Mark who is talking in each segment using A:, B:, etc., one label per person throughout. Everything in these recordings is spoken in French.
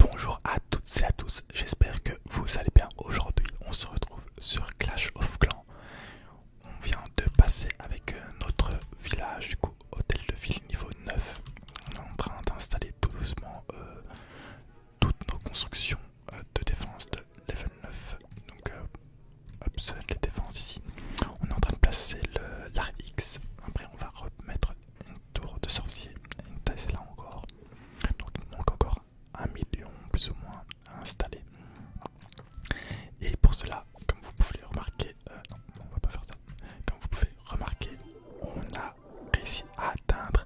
A: Bonjour à toutes et à tous, j'espère que vous allez bien. Aujourd'hui, on se retrouve sur Clash of Clans. On vient de passer avec euh, notre village, du coup, hôtel de ville niveau 9. On est en train d'installer doucement euh, toutes nos constructions euh, de défense de level 9. Donc, les défenses ici. On est en train de placer x Après, on va remettre une tour de sorcier, une là encore. Donc manque encore un million plus ou moins à installer. Et pour cela, comme vous pouvez remarquer, euh, on va faire Comme vous pouvez remarquer, on a réussi à atteindre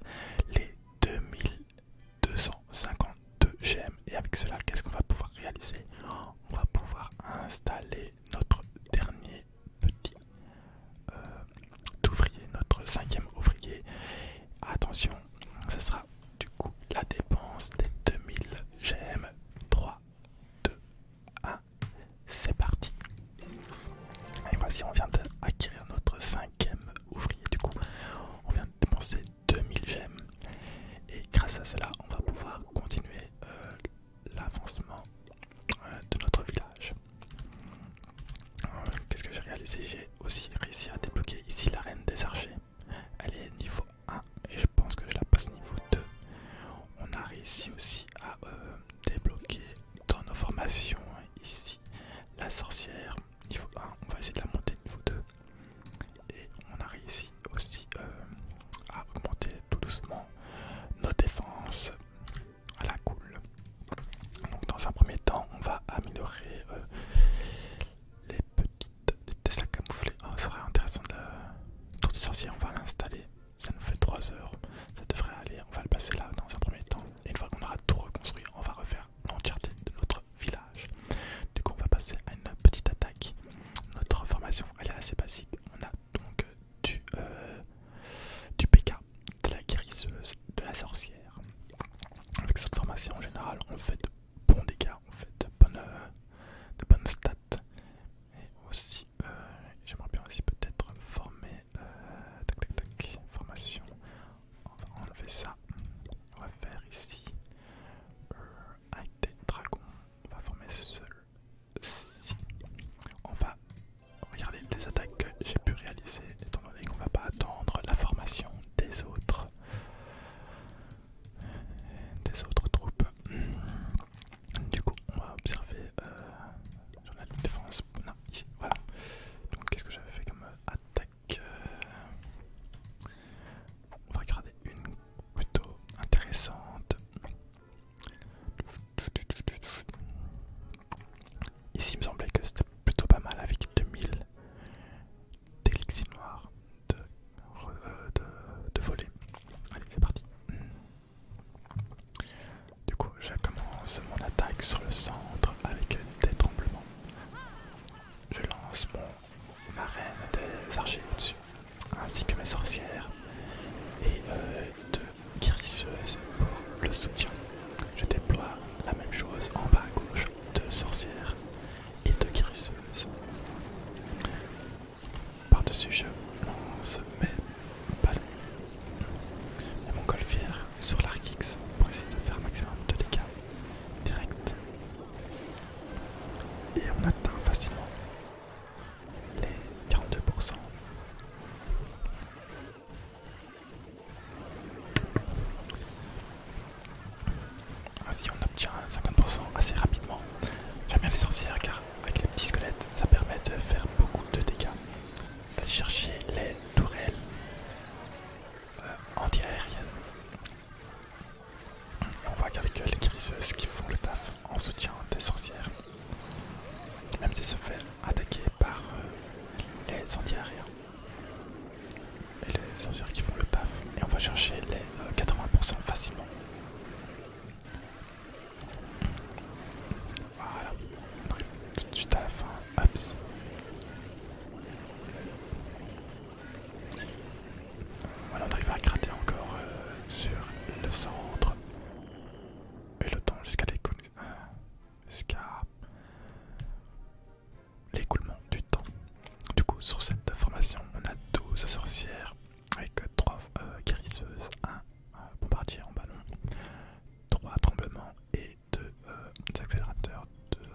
A: les 2252 gemmes. Et avec cela, qu'est-ce qu'on va pouvoir réaliser On va pouvoir installer notre dernier petit euh, ouvrier, notre cinquième ouvrier. Attention, ce sera du coup la dépense des 2000 gemmes. 3, 2, 1, c'est parti. Et voici, on vient d'acquérir notre cinquième ouvrier. Du coup, on vient de dépenser 2000 gemmes. Et grâce à cela, on va pouvoir continuer euh, l'avancement euh, de notre village. Euh, qu'est-ce que j'ai réalisé J'ai aussi réussi à débloquer ici la reine des archers. Elle est niveau 1 et je pense que je la passe niveau 2. On a réussi aussi à euh, débloquer dans nos formations hein, ici la sorcière niveau 1. On va essayer de la monter niveau 2. Et on a réussi aussi à augmenter tout doucement nos défenses à la cool. Donc dans un premier temps, on va améliorer euh, les petites les Tesla camouflées. ça ah, serait intéressant de Tour on va l'installer. Ça nous fait 3 heures. Ça devrait aller. On va le passer là dans un premier temps. Et une fois qu'on aura tout reconstruit, on va refaire l'entièreté de notre village. Du coup, on va passer à une petite attaque. Notre formation, elle est assez basique. On a donc euh, du, euh, du PK, de la guérisseuse, de la sorcière. Avec cette formation en général, on fait de bons dégâts, on fait de bonnes, euh, de bonnes stats. Et aussi, euh, j'aimerais bien aussi peut-être former. Euh, tac tac tac, formation. On va enlever ça. On va faire ici. un avec des dragons. On va former celui On va Regardez les attaques que j'ai pu réaliser, étant donné qu'on va pas attendre la formation des autres, des autres troupes. Du coup, on va observer J'en euh, ai la défense. Non, ici, voilà. Donc, qu'est-ce que j'avais fait comme attaque euh, On va regarder une plutôt intéressante. Ici, il me semblait que c'était plutôt pas mal avec 2000 d'élixir noir de, euh, de, voler. Allez, c'est parti. Du coup, je commence mon attaque sur le centre avec des tremblements. Je lance mon marraine des archers au-dessus, ainsi que mes sorcières et euh, de... Guérisseuse pour le soutien. Je déploie la même chose en bas à gauche, deux sorcières et deux guérisseuses. Par-dessus, je lance mes ballons et mon golfière sur l'arc-x pour essayer de faire un maximum de dégâts direct. Et on atteint facilement les 42%. Ainsi ah, on obtient 50% assez rapidement. J'aime bien les sorcières car avec les petits squelettes ça permet de faire beaucoup de dégâts. va chercher les tourelles euh, anti-aériennes. on voit qu'avec les griseuses, qui font le taf en soutien des sorcières. Même si se font attaquer par euh, les anti arrière et les sorcières qui font le paf et on va chercher les 80% euh, facilement voilà on arrive tout de suite à la fin voilà on arrive à gratter encore euh, sur le centre et le temps jusqu'à les jusqu'à l'écoulement du temps. Du coup, sur cette formation, on a 12 sorcières avec 3 euh, guérisseuses, 1 euh, bombardier en ballon, 3 tremblements et 2 euh, accélérateurs de,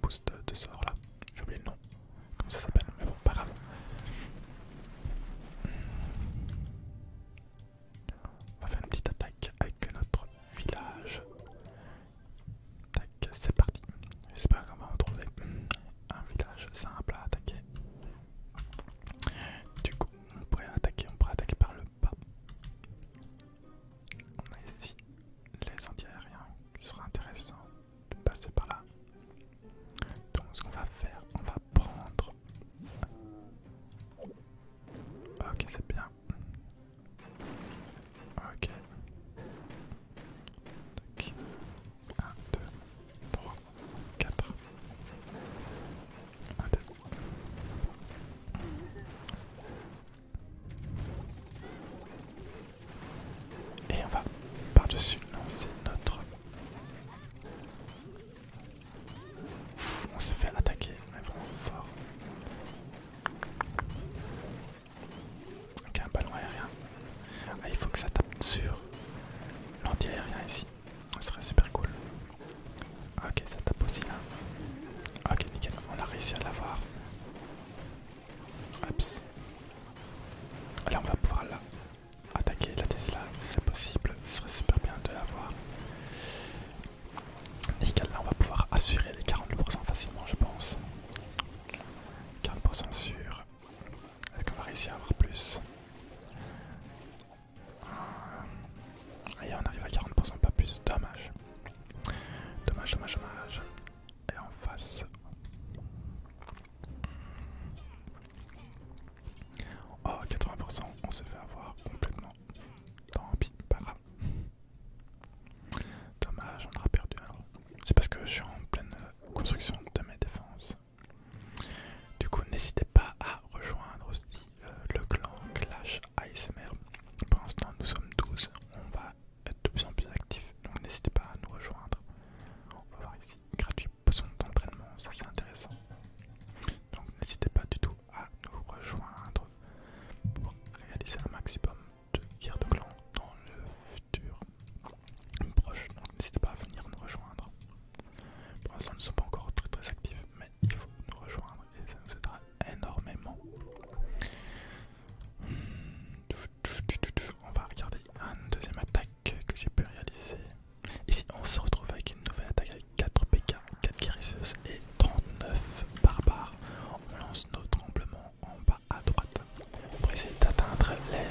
A: boost de sort là. J'ai oublié le nom, comment ça s'appelle, mais bon, pas grave. On va faire une petite attaque avec notre village. Tac, c'est parti. J'espère qu'on va en trouver un village simple à attaquer. Du coup, on pourrait attaquer, on attaquer par le bas. On a ici les anti ce sera intéressant de passer par là. Donc ce qu'on va faire, on va prendre Ok, c'est bien. Ok. Ok. 1, 2, 3, 4. Allez. Et on va par-dessus lancer notre on se fait attaquer, est vraiment fort. Ok, un ballon aérien. Ah, il faut que ça tape sur l'anti-aérien ici. Ce serait super cool. Ah, ok, ça tape aussi là. Ah, ok, nickel, on a réussi à l'avoir. Oups. Là, on va pouvoir attaquer la Tesla. C'est possible, ce serait super bien de l'avoir. Nickel, là on va pouvoir assurer les 40% facilement je pense. 40% sûr. Est-ce qu'on va réussir à avoir plus Et on arrive à 40%, pas plus, dommage. Dommage, dommage, dommage. Et en face... Oh, 80%, on se fait avoir complètement. Tant pas Dommage, on aura perdu C'est parce que je suis en pleine construction de mes défenses. Du coup, n'hésitez pas à rejoindre aussi euh, le clan Clash ASMR. Pour l'instant, nous sommes 12. On va être de plus en plus actifs. Donc, n'hésitez pas à nous rejoindre. On va voir ici. Gratuit, poisson d'entraînement. Ça, c'est intéressant. Donc, n'hésitez pas du tout à nous rejoindre pour réaliser un maximum de guerres de clans dans le futur proche. Donc n'hésitez pas à venir nous rejoindre. Pour l'instant, nous ne sommes pas encore très très actifs, mais il faut nous rejoindre et ça nous aidera énormément. On va regarder une deuxième attaque que j'ai pu réaliser. Ici, on se retrouve avec une nouvelle attaque 4 PK, 4 guérisseuses et 39 barbares. On lance nos tremblements en bas à droite pour essayer d'atteindre les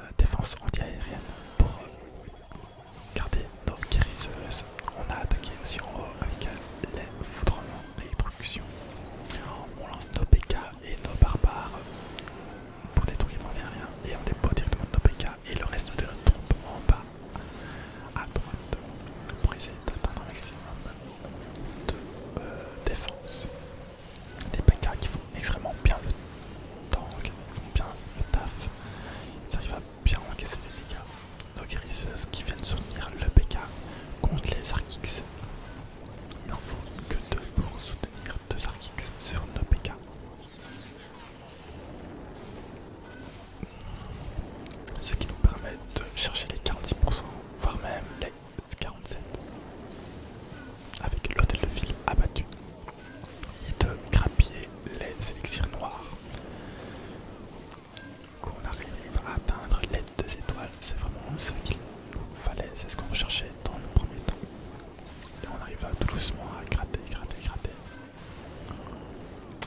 A: euh, défenses anti-aériennes pour euh, garder nos guérisseuses. On a attaqué aussi en haut avec euh, les foudrements, les tructions. On lance nos PK et nos barbares pour détruire l'anti-aérien et on dépose directement nos PK et le reste de notre troupe en bas à droite pour essayer d'atteindre un maximum de euh, défense. Des PK qui font extrêmement bien le qui font bien le taf, ils arrivent à bien encaisser les dégâts. Nos guérisseuses qui viennent soutenir le PK contre les Arkix. Il n'en faut que deux pour soutenir deux Arkix sur nos PK. Ce qui nous permet de chercher les 46%, voire même les 47% avec l'hôtel de ville abattu et de grappiller les élixirs noirs. on arrive à atteindre les deux étoiles, c'est vraiment ce qu'il nous fallait, c'est ce qu'on cherchait dans le premier temps. Et on arrive tout doucement à gratter, gratter, gratter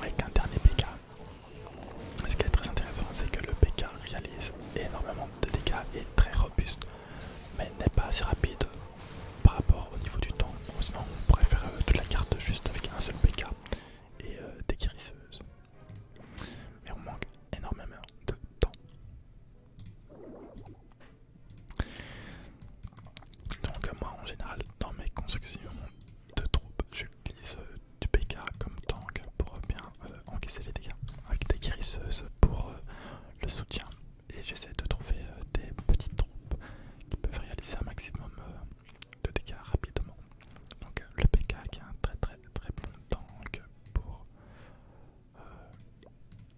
A: avec un dernier PK. Ce qui est très intéressant, c'est que le PK réalise énormément de dégâts et est très robuste, mais n'est pas assez rapide par rapport au niveau du temps. sinon, on pourrait faire euh, toute la carte juste avec un seul PK et euh, des guérisseuses. Mais on manque énormément de temps. Donc euh, moi en général dans mes constructions de troupes j'utilise euh, du PK comme tank pour euh, bien encaisser les dégâts avec des guérisseuses pour le soutien et j'essaie de trouver des petites troupes qui peuvent réaliser un maximum de dégâts rapidement. Donc le PK qui est un très très très bon tank pour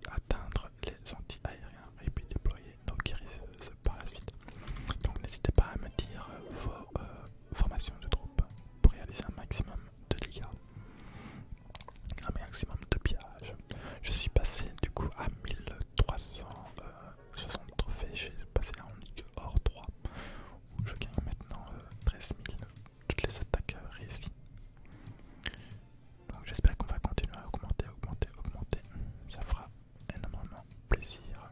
A: atteindre les anti-aériens et puis déployer euh, la suite. Donc n'hésitez pas à me dire euh, vos euh, formations de troupes pour réaliser un maximum de dégâts, un maximum de pillage. Je suis passé du coup à 1360 trophées, j'ai passé un Ligue Or 3 où je gagne maintenant 13000 13 000 toutes les attaques réussies. Donc j'espère qu'on va continuer à augmenter, augmenter, augmenter. Ça fera énormément plaisir.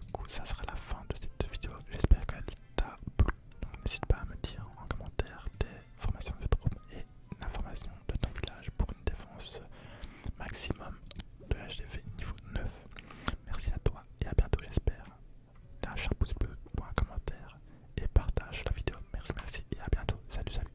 A: Du coup, ça sera la fin de cette vidéo. J'espère qu'elle t'a plu. n'hésite pas à me dire en commentaire tes formations de trompe et l'information de ton village pour une défense maximum de HDV niveau 9. Merci à toi et à bientôt, j'espère. Lâche un pouce bleu pour un commentaire et partage la vidéo. Merci, merci et à bientôt. Salut, salut.